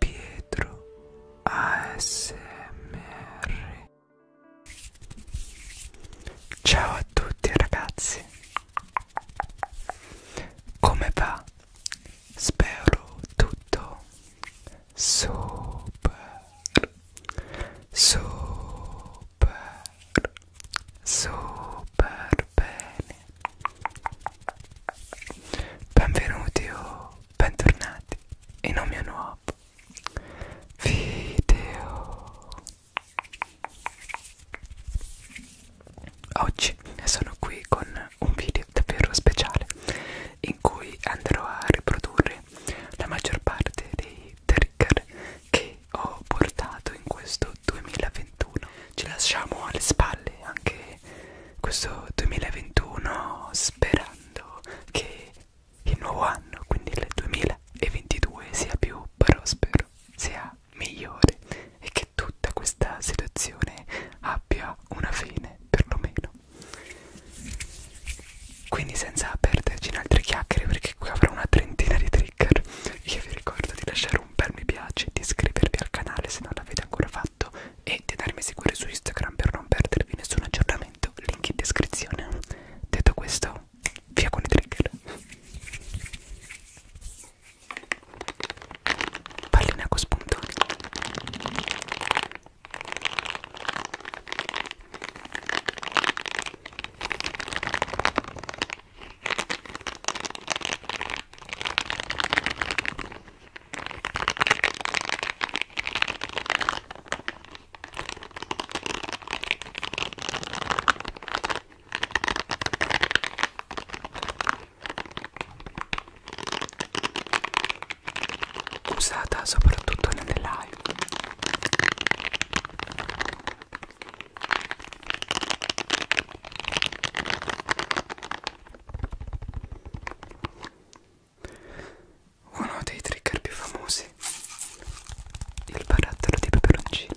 Pietro ASMR Ciao a tutti ragazzi Come va? Spero tutto super super super bene Benvenuti o bentornati in un mio nuovo video. Oggi sono qui con un video davvero speciale in cui andrò a riprodurre la maggior parte dei trigger che ho portato in questo 2021 ci lasciamo alle spalle anche questo 2021 sperando che il nuovo anno, quindi il 2022, sia più prospero, sia migliore e che tutta questa situazione abbia una fine, perlomeno. Quindi senza perderci in altre chiacchiere, perché qui avrò una trentina di trigger, io vi ricordo di lasciare lasciare un bel mi piace, di iscrivervi al canale se non l'avete ancora fatto e di andarmi a seguire su Instagram per non perdervi nessun aggiornamento, link in descrizione. Detto questo, via con i trigger. Pallina con spuntoni usata soprattutto nelle live uno dei trigger più famosi, il barattolo di peperoncino.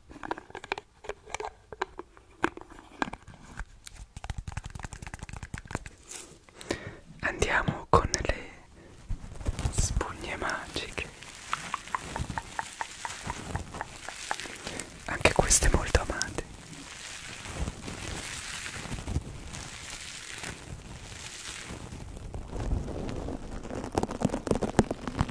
Andiamo con le spugne magiche. Anche queste molto amate.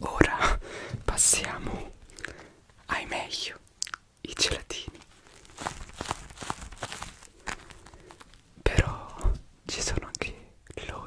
Ora passiamo ai meglio i gelatini però ci sono anche loro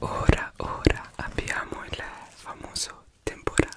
Ora ora abbiamo el famoso Temporal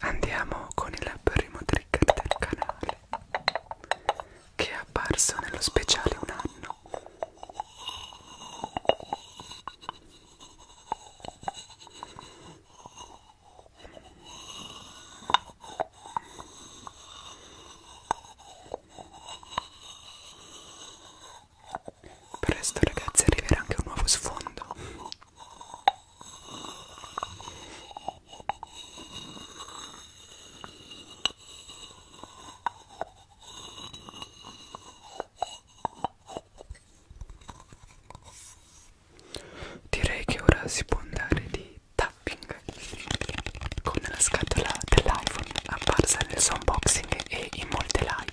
Andiamo con il primo trigger del canale che è apparso nello speciale un anno. Presto ragazzi arriverà anche un nuovo sfondo. Direi che ora si può andare di tapping con la scatola dell'iPhone apparsa nel suo unboxing e in molte live.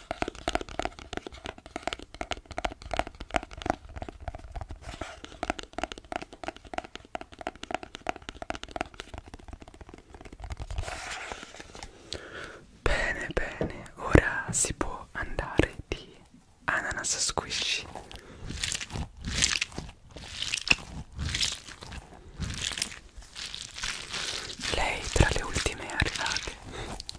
Bene, bene, ora si può andare di ananas squishy. Lei tra le ultime arrivate.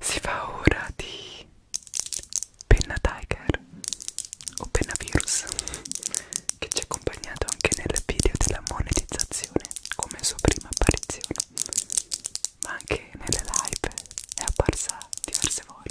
Si fa ora di penna tiger Openavirus che ci ha accompagnato anche nel video della monetizzazione come sua prima apparizione ma anche nelle live è apparsa diverse volte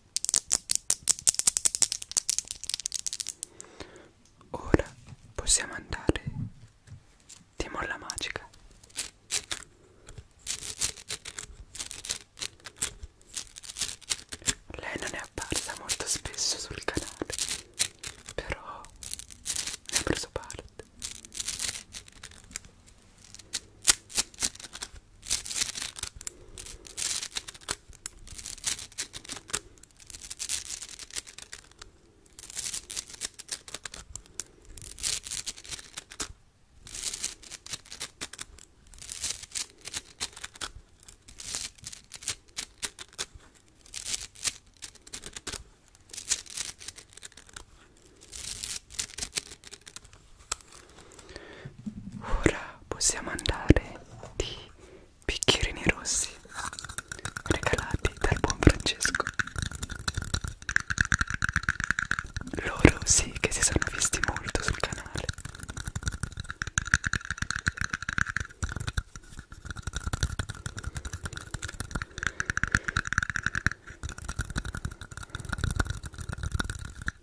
Ora possiamo andare di molla magica. Lei non è apparsa molto spesso sul canale, però ne ha preso parte. Ora possiamo andare di bicchierini rossi regalati dal buon Francesco. Loro sì che si sono visti molto sul canale.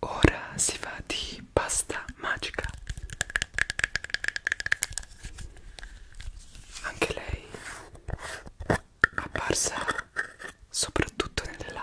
Ora si va di pasta magica. Anche lei apparsa soprattutto nelle live.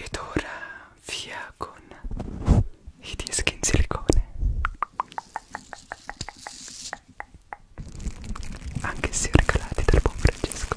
Ed ora via con i dischi in silicone anche se regalati dal buon Francesco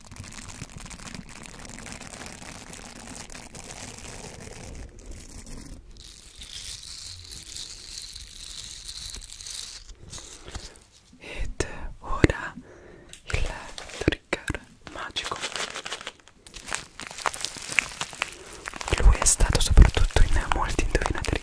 Ed ora il trigger magico. Lui è stato soprattutto in molti indovinatori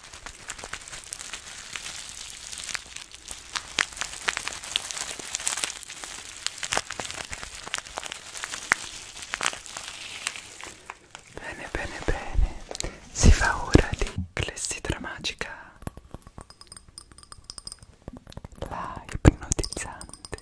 Bene, bene, bene. Si fa ora di clessidra magica. La ipnotizzante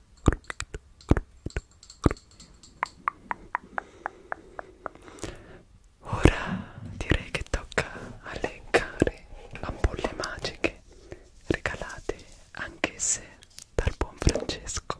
Ora direi che tocca elencare ampolle magiche regalate anch'esse dal buon Francesco.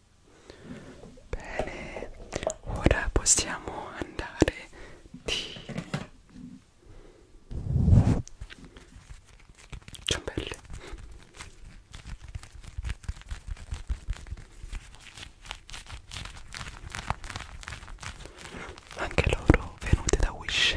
Bene, ora possiamo andare di ciambelle. Anche loro venute da Wish.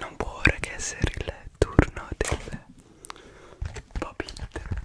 non può ora che essere il turno del Bob Hitter.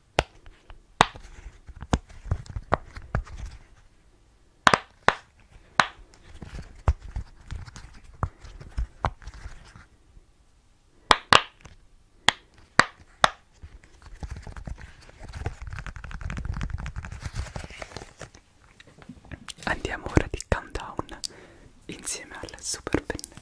Andiamo ora di countdown insieme al super pennello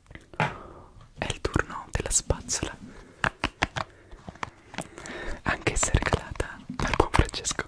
È il turno della spazzola. Anche se regalata dal buon Francesco.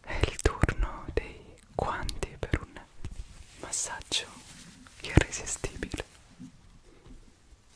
È il turno dei guanti per un massaggio irresistibile.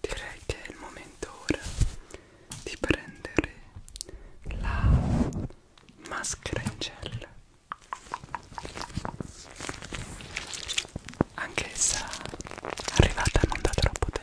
Direi che è il momento ora di prendere la maschera in gel anch'essa arrivata non da troppo tempo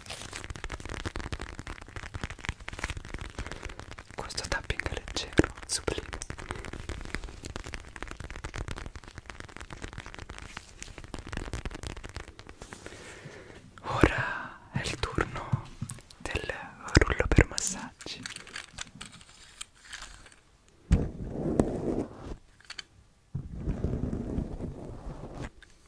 Questo tapping è leggero, sublime. Ora è il turno del rullo per massaggi.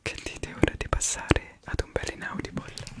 che dite è ora di passare ad un bel inaudible Grazie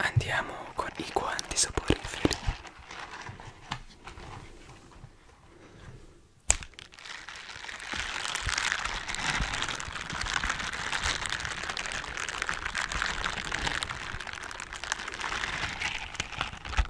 Andiamo con i guanti saporiferi.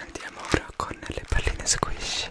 Andiamo ora con le palline squish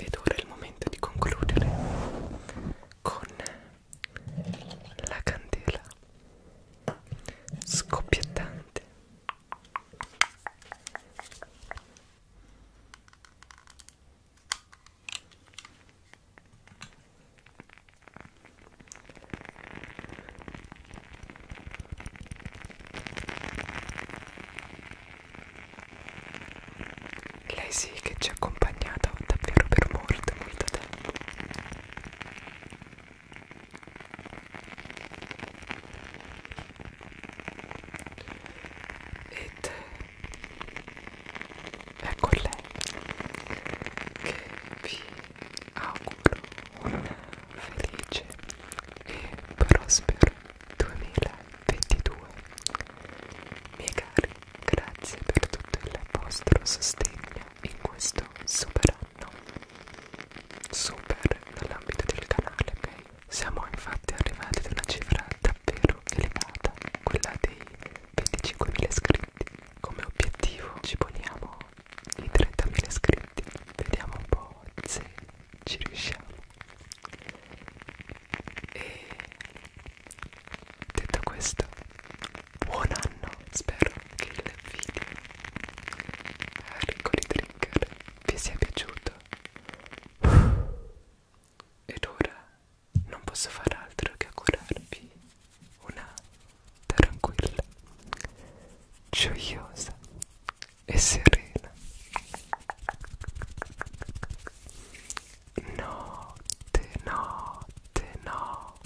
Ed ora è il momento di concludere con la candela scoppiettante lei sì che ci ha accompagnato davvero per molto, molto tempo. Ed ecco lei che vi auguro un felice e prospero 2022 miei cari grazie per tutto il vostro sostegno in questo super anno super nell'ambito del canale ok siamo infatti arrivati ad una cifra davvero elevata, quella dei 25.000 iscritti. Come obiettivo ci poniamo i 30.000 iscritti, vediamo un po' se ci riusciamo. E detto questo, buon anno, spero che il video ricco di trigger vi sia piaciuto. Ed ora non posso far altro che augurarvi una tranquilla, gioiosa e serena notte, notte, notte.